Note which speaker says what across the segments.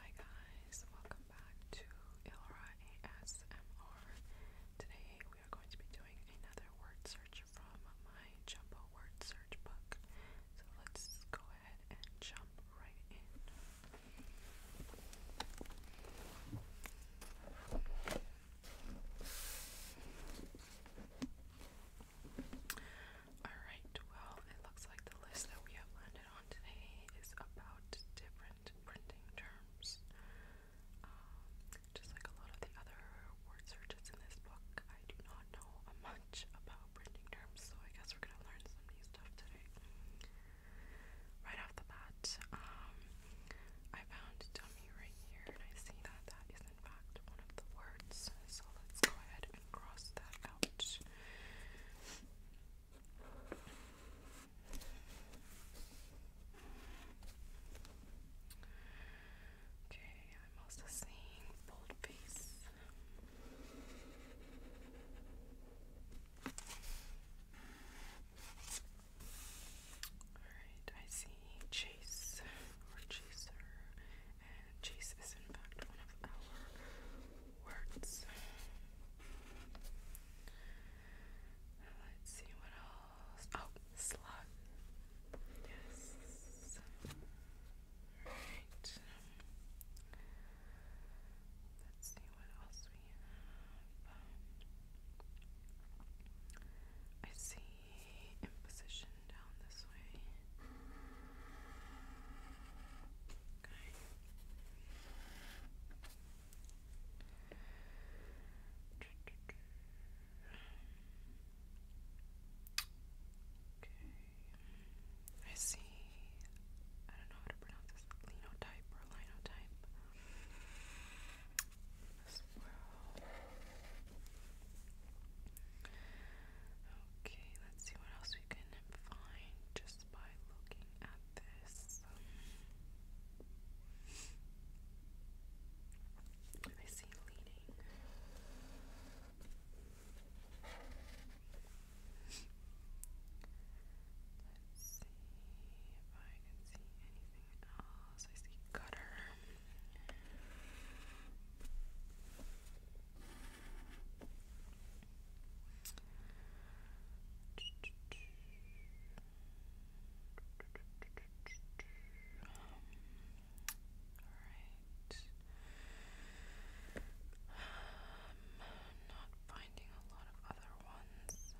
Speaker 1: Hi guys, welcome back to Ilra ASMR. Today we are going to be doing another word search from my Jumbo word search book. So let's go ahead and jump right in. Alright, well, it looks like the list that we have landed on today is about different printing terms. Um, just like a lot of the other word searches in this book, I do not know much about printing terms, so I guess we're gonna learn some new stuff today. Right off the bat, um, I found dummy right here, and I see that that is in fact one of the words, so let's go ahead and cross that out. Okay, I'm also seeing bold Alright, I see Chase or Chaser and chase is in fact one of our words. Let's see what else. Oh, slug. Yes. Alright. Let's see what else we have. Um, I see in position down this way. Okay. Okay. I see. I don't know how to pronounce this. Linotype or linotype this world. Okay, let's see what else we can find just by looking at this. I see leading. Let's see if I can see anything anything else? I see gutter. Alright. not finding a lot of other ones.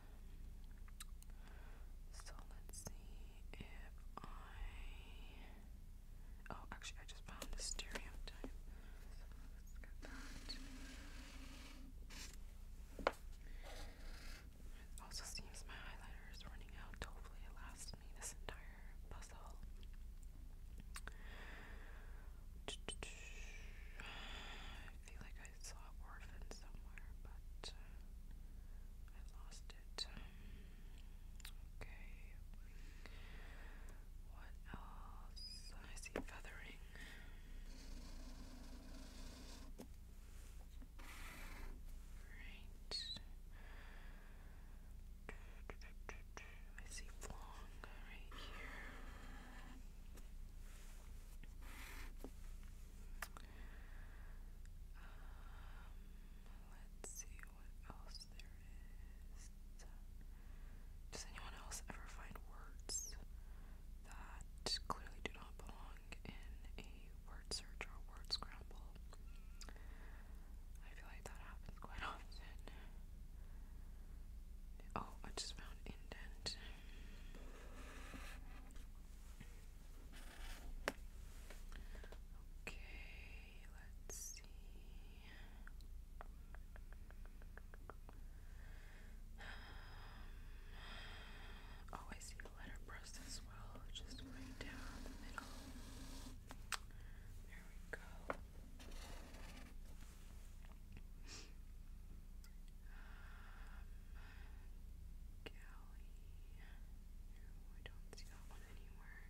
Speaker 1: So let's see. I. Oh, actually, I just found the stereo. also seems my highlighter is running out. Hopefully, it lasts me this entire puzzle. I feel like I saw Orphan somewhere, but uh, I lost missed it. Okay. What else? I see feathering. Right. I see flong right here. Um, let's see what else there is. Does anyone else ever find words that clearly do not belong in a word search or word scramble? I feel like that happens quite often. Oh, I just found indent. Okay, let's see. Um, oh, I see the letterpress as well, just right down the middle. There we go. No, I don't see that one anywhere.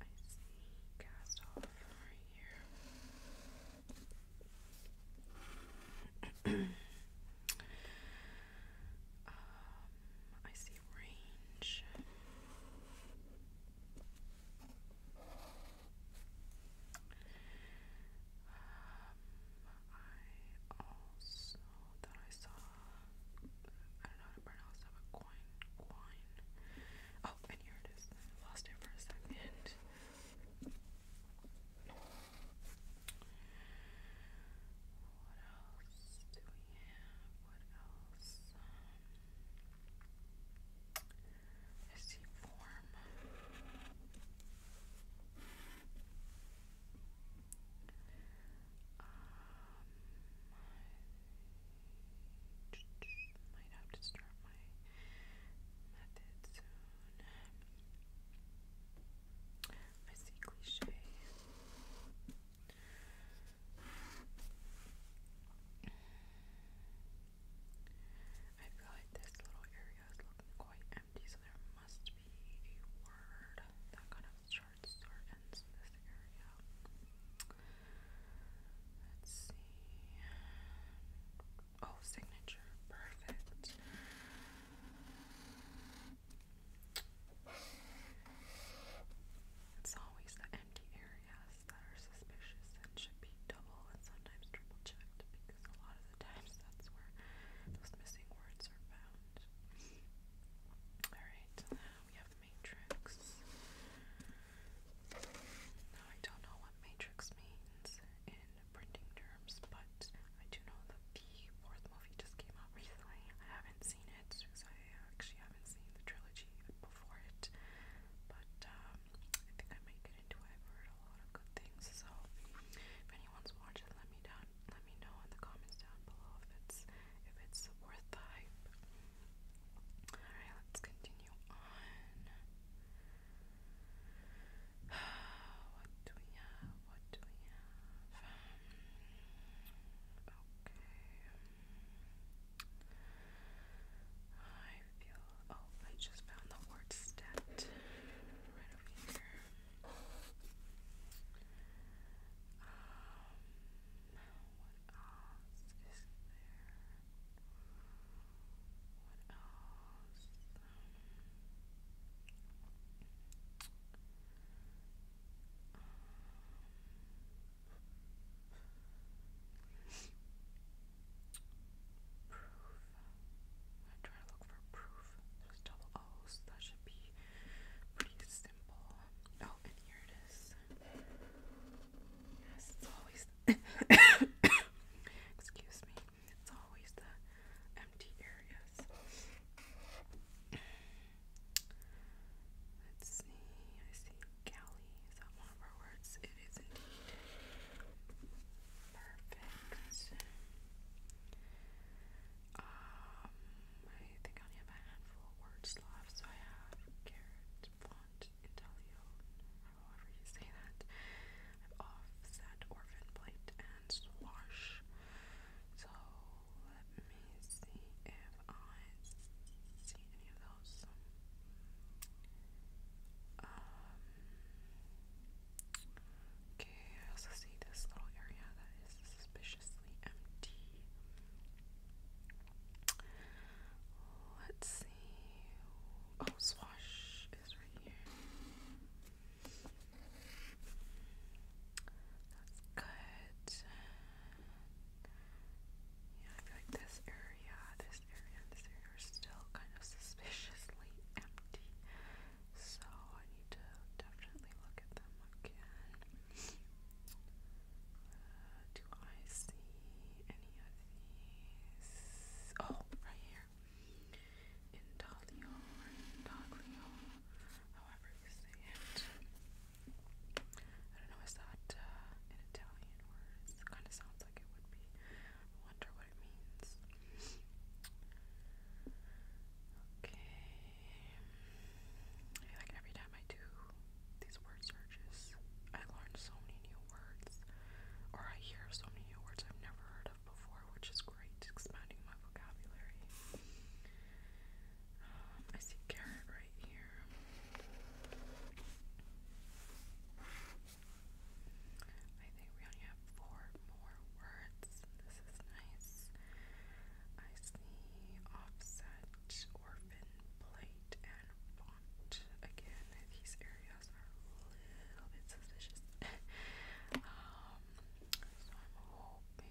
Speaker 1: I see cast off here. I see range. I also thought I saw, I don't know how to pronounce that, but coin, coin. Oh, and here it is. lost it for a second. What else do we have? What else? Um, I see form. Um, might have to start my method soon. I see cliche. I feel like this little area is looking quite empty, so there must be a word that kind of starts or ends this area. Let's see. Oh, signature. Perfect. It's always the empty areas that are suspicious and should be double and sometimes triple checked because a lot of the times that's where those missing words are found. Alright, so now we have the matrix. Now I don't know what matrix means in printing terms, but I do know that the fourth movie just came out recently. I haven't seen it because I actually haven't seen the trilogy before it. But um, I think I might get into it. I've heard a lot of good things. So if anyone's watched it, let me down. Let me know in the comments down below if it's if it's worth the hype. All right, let's continue on. What do we have? What do we have? I feel. Oh, I just found the word stat right over here. Um, what else is there? What else? Proof. I'm trying to look for proof. There's double O's. That should be pretty simple. Oh, and here it is. Yes, it's always. Excuse me. It's always the empty areas. Let's see. I see galley. Is that one of our words? It is indeed. Perfect. Um, I think I only have a handful of words left. So I have carrot, font, intellion, however you say that. I've offset, orphan, plate, and swash. So let me see if I see any of those. Um, okay, I also see this little area that is suspiciously empty. Let's see. Oh, Swash is right here. That's good. Yeah, I feel like this area, this area, and this area are still kind of suspiciously empty. So I need to definitely look at them again. Uh, do I see any of these? Oh, right here. Intaglio Intaglio, however you say it. I don't know, is that an Italian word? It kind of sounds like it would be. I wonder what it means. Okay. Um, I feel like every time I do these word searches, I learn so many new words, or I hear so many words I've never heard of before, which is great, expanding my vocabulary. Um, I see carrot right here. I think we only have four more words. This is nice. I see offset, orphan, plate, and font. Again, these areas are a little bit suspicious. Um, so I'm hoping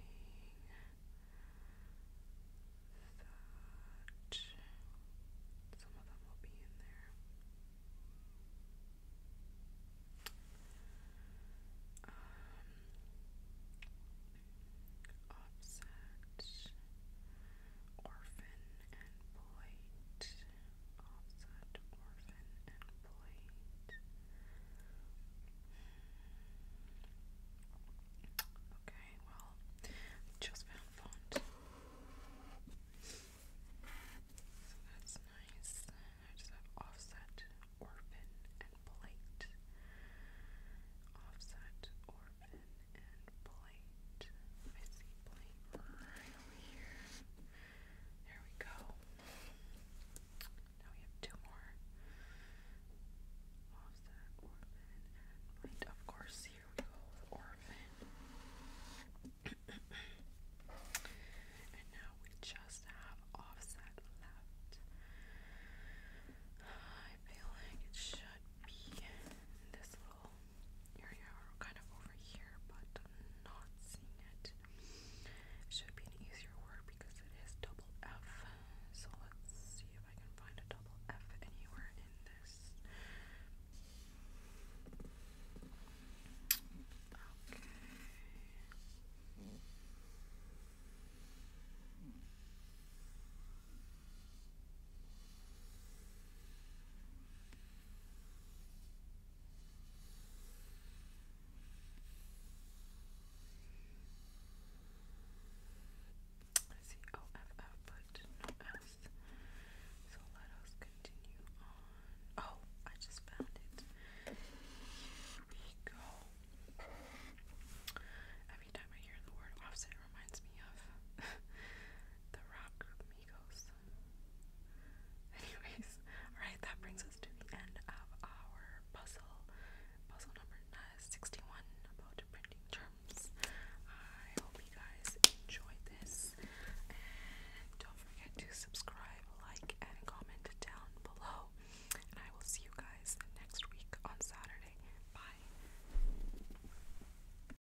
Speaker 1: that some of them will be in there. offset, um, orphan, and blight. Offset, Orphan, and Blade. Okay, well, just found font. that's nice. I just have Offset, Orphan, and Blade. Offset, Orphan, and Blade. I see Blade right here. There we go. Now we have two more. Offset, orphan, and of course, here we go orphan. and now we just have offset left. I feel like it should be this little area or kind of over here, but not seeing it. Should be an easier word because it is double F. So let's see if I can find a double F anywhere in this. Okay. I see OFF, but S. So let us continue on. Oh, I just found it. Here we go. Every time I hear the word offset, reminds me of the rock group Anyways, alright, that brings us to the end of our puzzle. Puzzle number uh, about printing terms. I hope you guys enjoyed this. And don't forget to subscribe, like, and comment down below. And I will see you guys next week on Saturday. Bye.